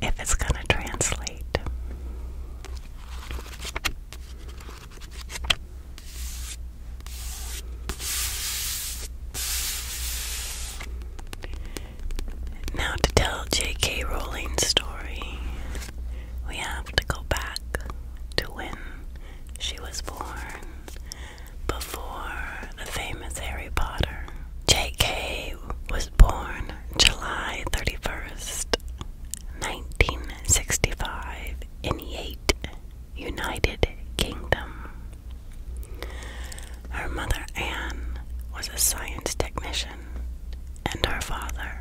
if it's going to translate. Now, to tell J.K. Rowling's story, we have to go back to when she was born before the famous Harry Potter. J.K. I was born July 31st, 1965, in Yate, United Kingdom. Her mother, Anne, was a science technician, and her father,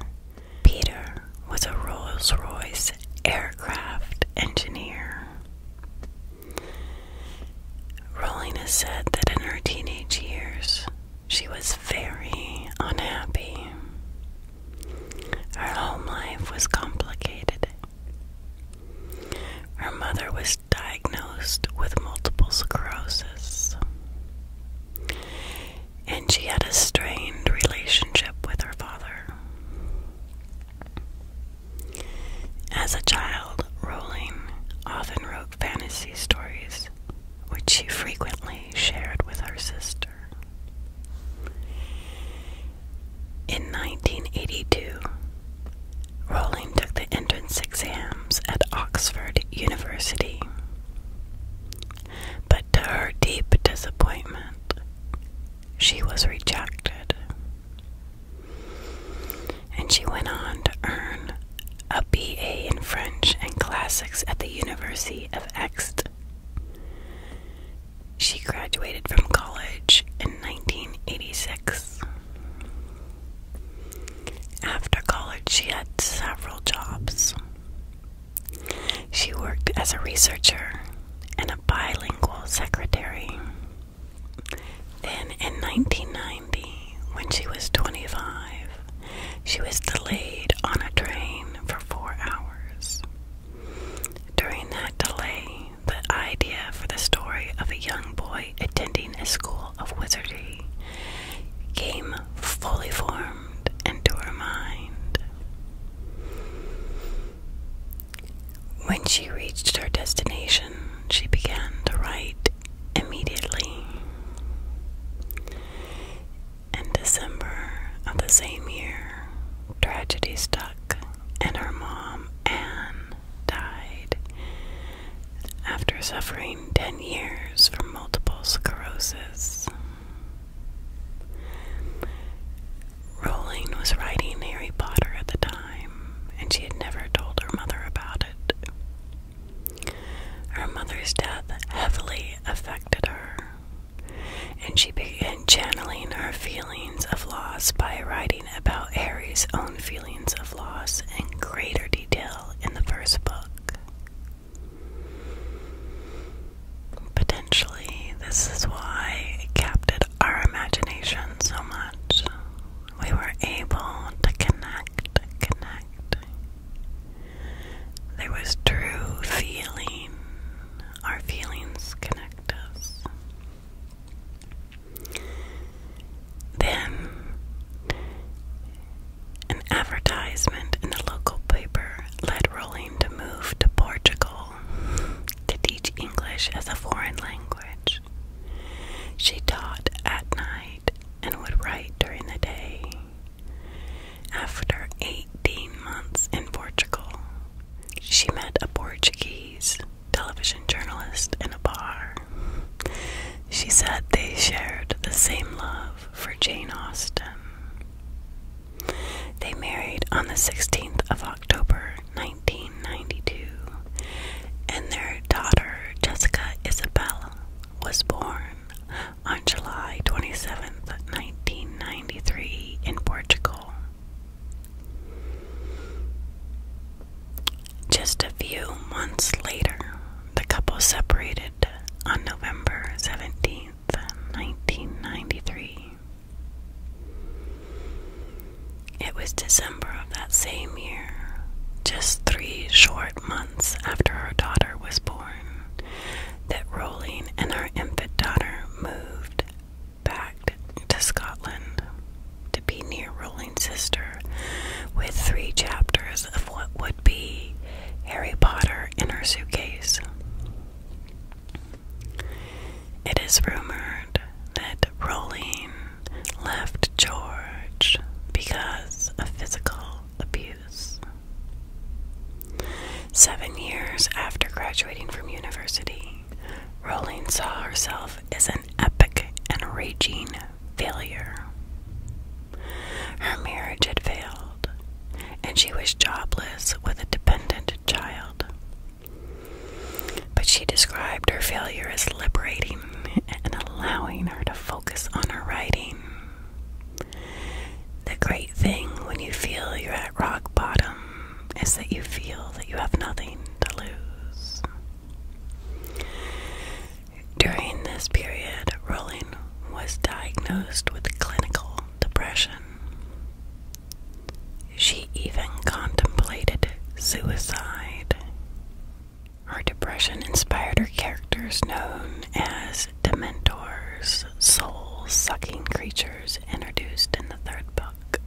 Peter, was a Rolls Royce aircraft engineer. Rolling has said that in her teenage years, she was very unhappy. Her home life was complicated. Her mother was diagnosed with multiple sclerosis, and she had a strained relationship with her father. As a child, Rolling often wrote fantasy stories, which she frequently shared with her sister. In 1982, Rowling took the entrance exams at Oxford University. But to her deep disappointment, she was rejected. And she went on to earn a BA in French and Classics at the University of Aix. She graduated from college in 1986. After college, she had several jobs. She worked as a researcher and a bilingual secretary. Then in 1990, when she was 25, she was delayed on a train for four hours. During that delay, the idea for the story of a young boy attending a school of wizardry came fully formed into her mind. When she reached her destination, she began to write immediately. In December of the same year, tragedy struck, and her mom, Anne, died after suffering 10 years from multiple sclerosis. Rowling was writing Harry Potter at the time and she had never told her mother about it. Her mother's death heavily affected her, and she began channeling her feelings of loss by writing about Harry's own feelings of loss in greater detail in the first book. Potentially, this is why it captured our imagination so much we were able to connect, connect. There was true feeling. Our feelings connect us. Then, an advertisement in the local paper led Rowling to move to Portugal to teach English as a foreign language. She taught at night and would write during the day. After 18 months in Portugal, she met a Portuguese television journalist in a bar. She said they shared the same love for Jane Austen. They married on the 16th of October 1992, and their daughter Jessica Isabella was born on July twenty-seventh, 1993, in Portugal. Just a few months later, the couple separated on November seventeenth, 1993. It was December of that same year, just three short months after her daughter was born, that Rowling and her infant daughter moved back to Scotland to be near Rowling's sister with three chapters of what would be Harry Potter in her suitcase. It is rumored that Rowling left George because of physical abuse. Seven years after graduating from university, Rowling saw herself as an epic and raging failure. Her marriage had failed, and she was jobless with a dependent child but she described her failure as liberating and allowing her to focus on her writing. The great thing when you feel you're at rock bottom is that you feel that you have nothing to lose. During this period, Rowling was diagnosed with clinical depression. She even contemplated suicide. Her depression inspired her characters known as Dementors, soul sucking creatures introduced in the third book.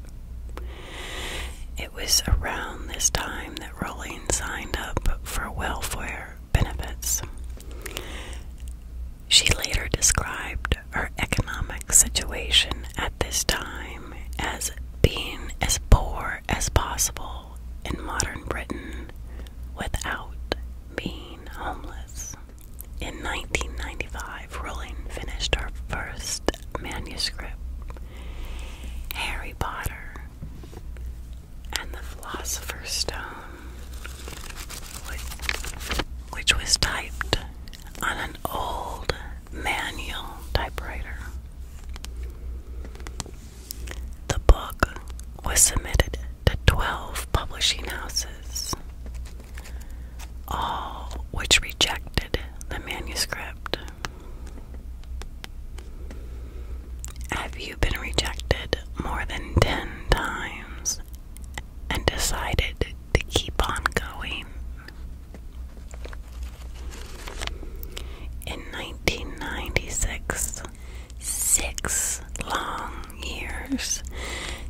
It was around this time that Rowling signed up for welfare benefits. She later described described her economic situation at this time as being as poor as possible in modern Britain without being homeless. In 1995, Rowling finished her first manuscript, Harry Potter and the Philosopher's Stone, which was typed on an old manual typewriter. The book was submitted to 12 publishing houses, all which rejected the manuscript. Have you been rejected more than 10 times and decided to keep on going. In 1996, six long years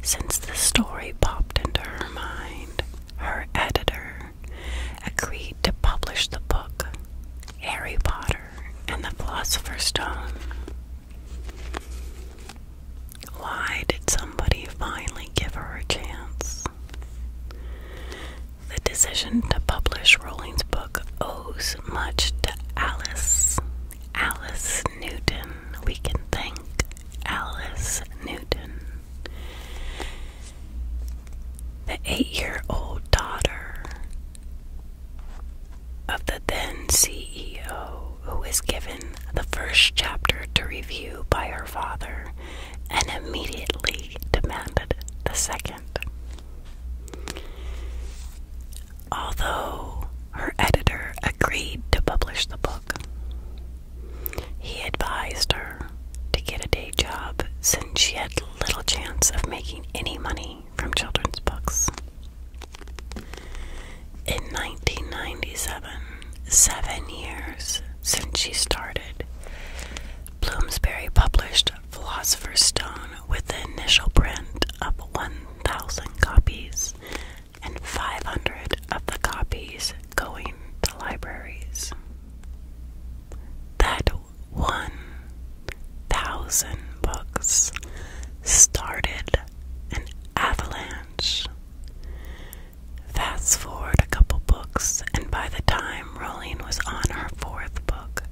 since the story popped into her mind, her editor agreed to publish the book Harry Potter and the Philosopher's Stone. Why did somebody finally give her a chance? The decision to publish Rowling's book owes much to Alice. Alice Newton. We can thank Alice Newton. The eight year old daughter of the then CEO who was given the first chapter to review by her father and immediately demanded the second. Although her editor agreed to publish the book, he advised her to get a day job since she had little chance of making any money from children's books. In 1997, seven years since she started, Bloomsbury published Philosopher's Stone with an initial print of 1,000 copies and 500 of the copies going to libraries. That 1,000 books started an avalanche Fast forward a couple books, and by the time Rowling was on her fourth book,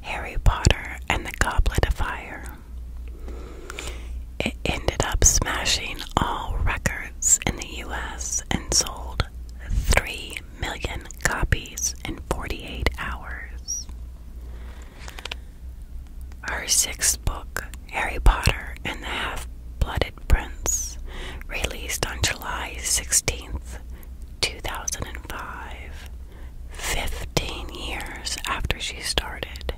Harry Potter and the Goblet of Fire, it ended up smashing all records in the US and sold 3 million copies in 48 hours. Her sixth book, Harry Potter and the Half Blooded Prince, released on July sixteenth, two thousand 2005, 15 years after she started,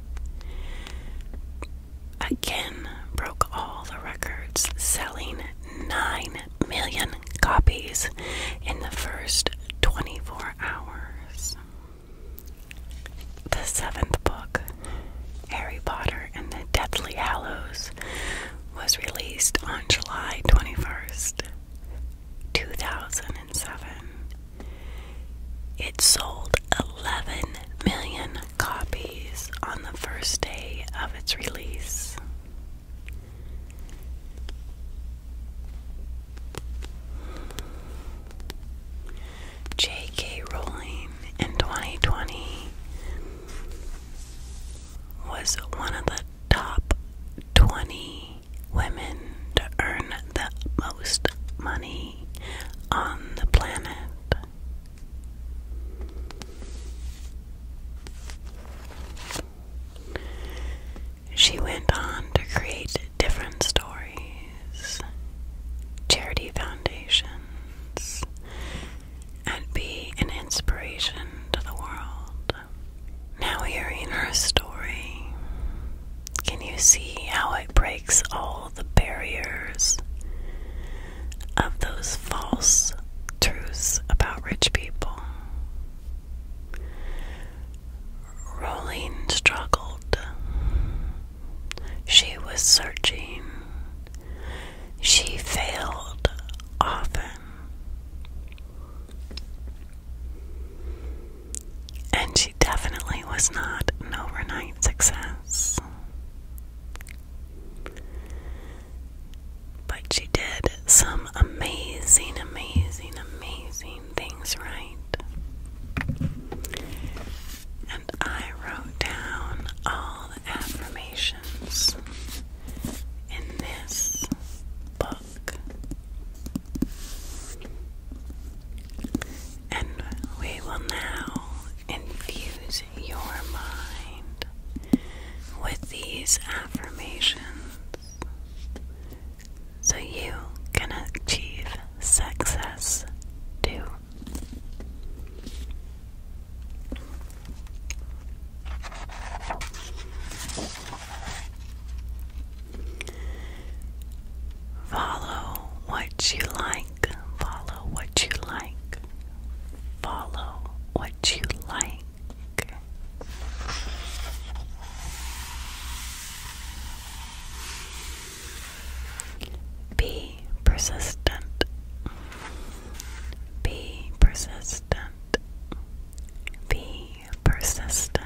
again broke all the records, selling 9 million copies in the first 24 hours. The seventh book, Harry Potter and the Deathly Hallows, was released on July 21st, 2007. It sold 11 million copies on the first day of its release. J.K. Rowling in 2020 was one of the top 20 women to earn the most money on the planet. She went on to create different stories, charity foundations, and be an inspiration to the world. Now, hearing her story, can you see how it breaks all the barriers of those false truths about rich people? Rolling struggled. She was searching. She failed often. And she definitely was not an overnight success. But she did some amazing, amazing, amazing things right. And I wrote down all affirmations in this book. And we will now infuse your mind with these affirmations so you can achieve success too. Follow what you like, follow what you like, follow what you like. Be persistent. Be persistent. Be persistent.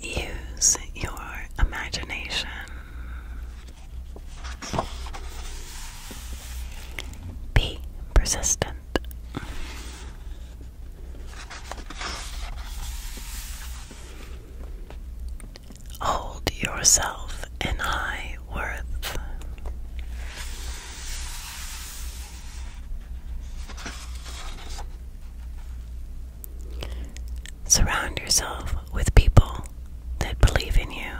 Use your imagination. Be persistent. Hold yourself in high worth. Surround yourself with people that believe in you.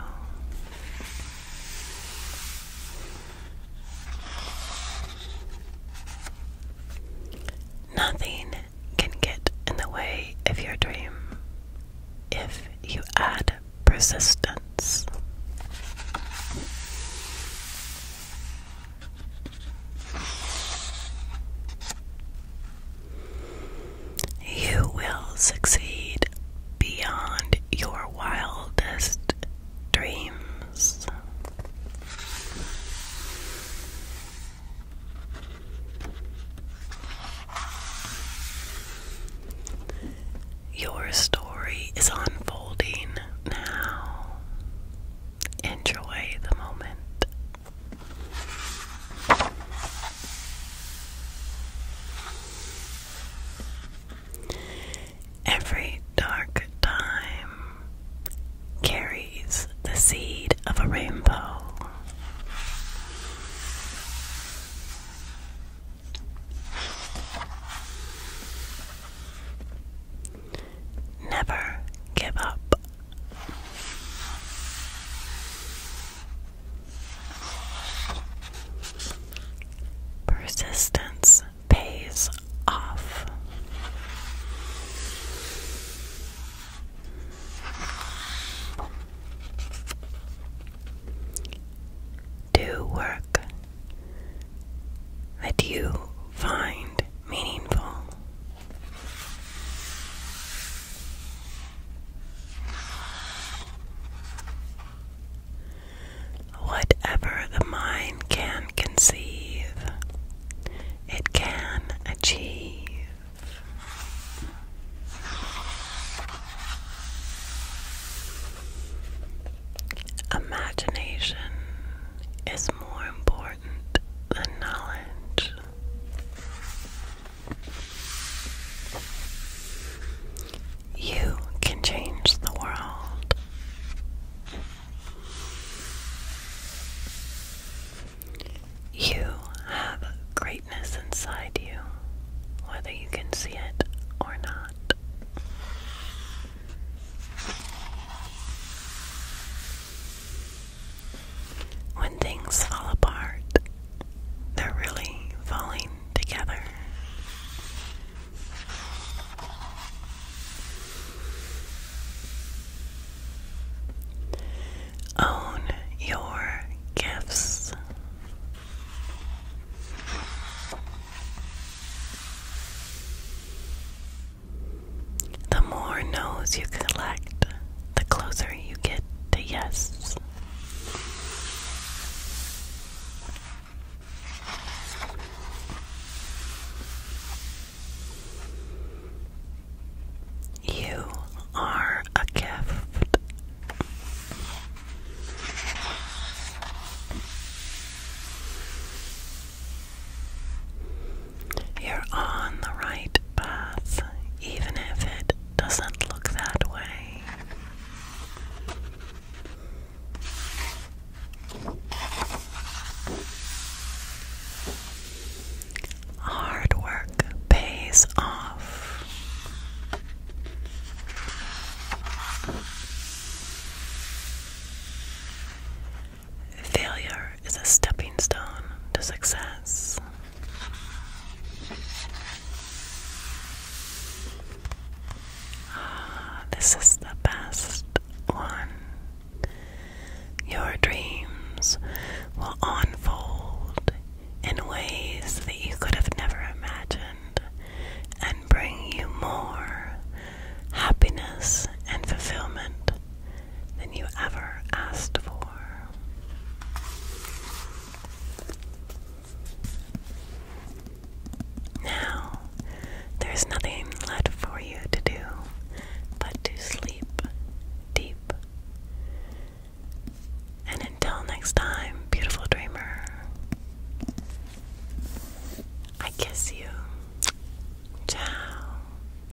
Nothing can get in the way of your dream if you add persistence. You will succeed beyond your wildest dreams. Your story is unfolding now. Enjoy the moment. Every dark time carries the seed of a rainbow. Never give up. Persistence pays off. Do work that you find meaningful. Whatever the mind can conceive, it can achieve. Imagination is more important than knowledge. You can change the world. You have greatness inside you, whether you can see it or not. When things fall apart, they're really falling together. Own your gifts. The more no's you collect, the closer you get to yes. You are a gift. You're on the right path, even if it doesn't look that way. Hard work pays off. Failure is a stepping stone to success. Ah, this is the best one. Your dreams will unfold in ways that you could have never imagined and bring you more happiness and fulfillment than you ever asked for. Now, there's nothing left for you to do but to sleep deep. And until next time, beautiful dreamer, I kiss you. Ciao.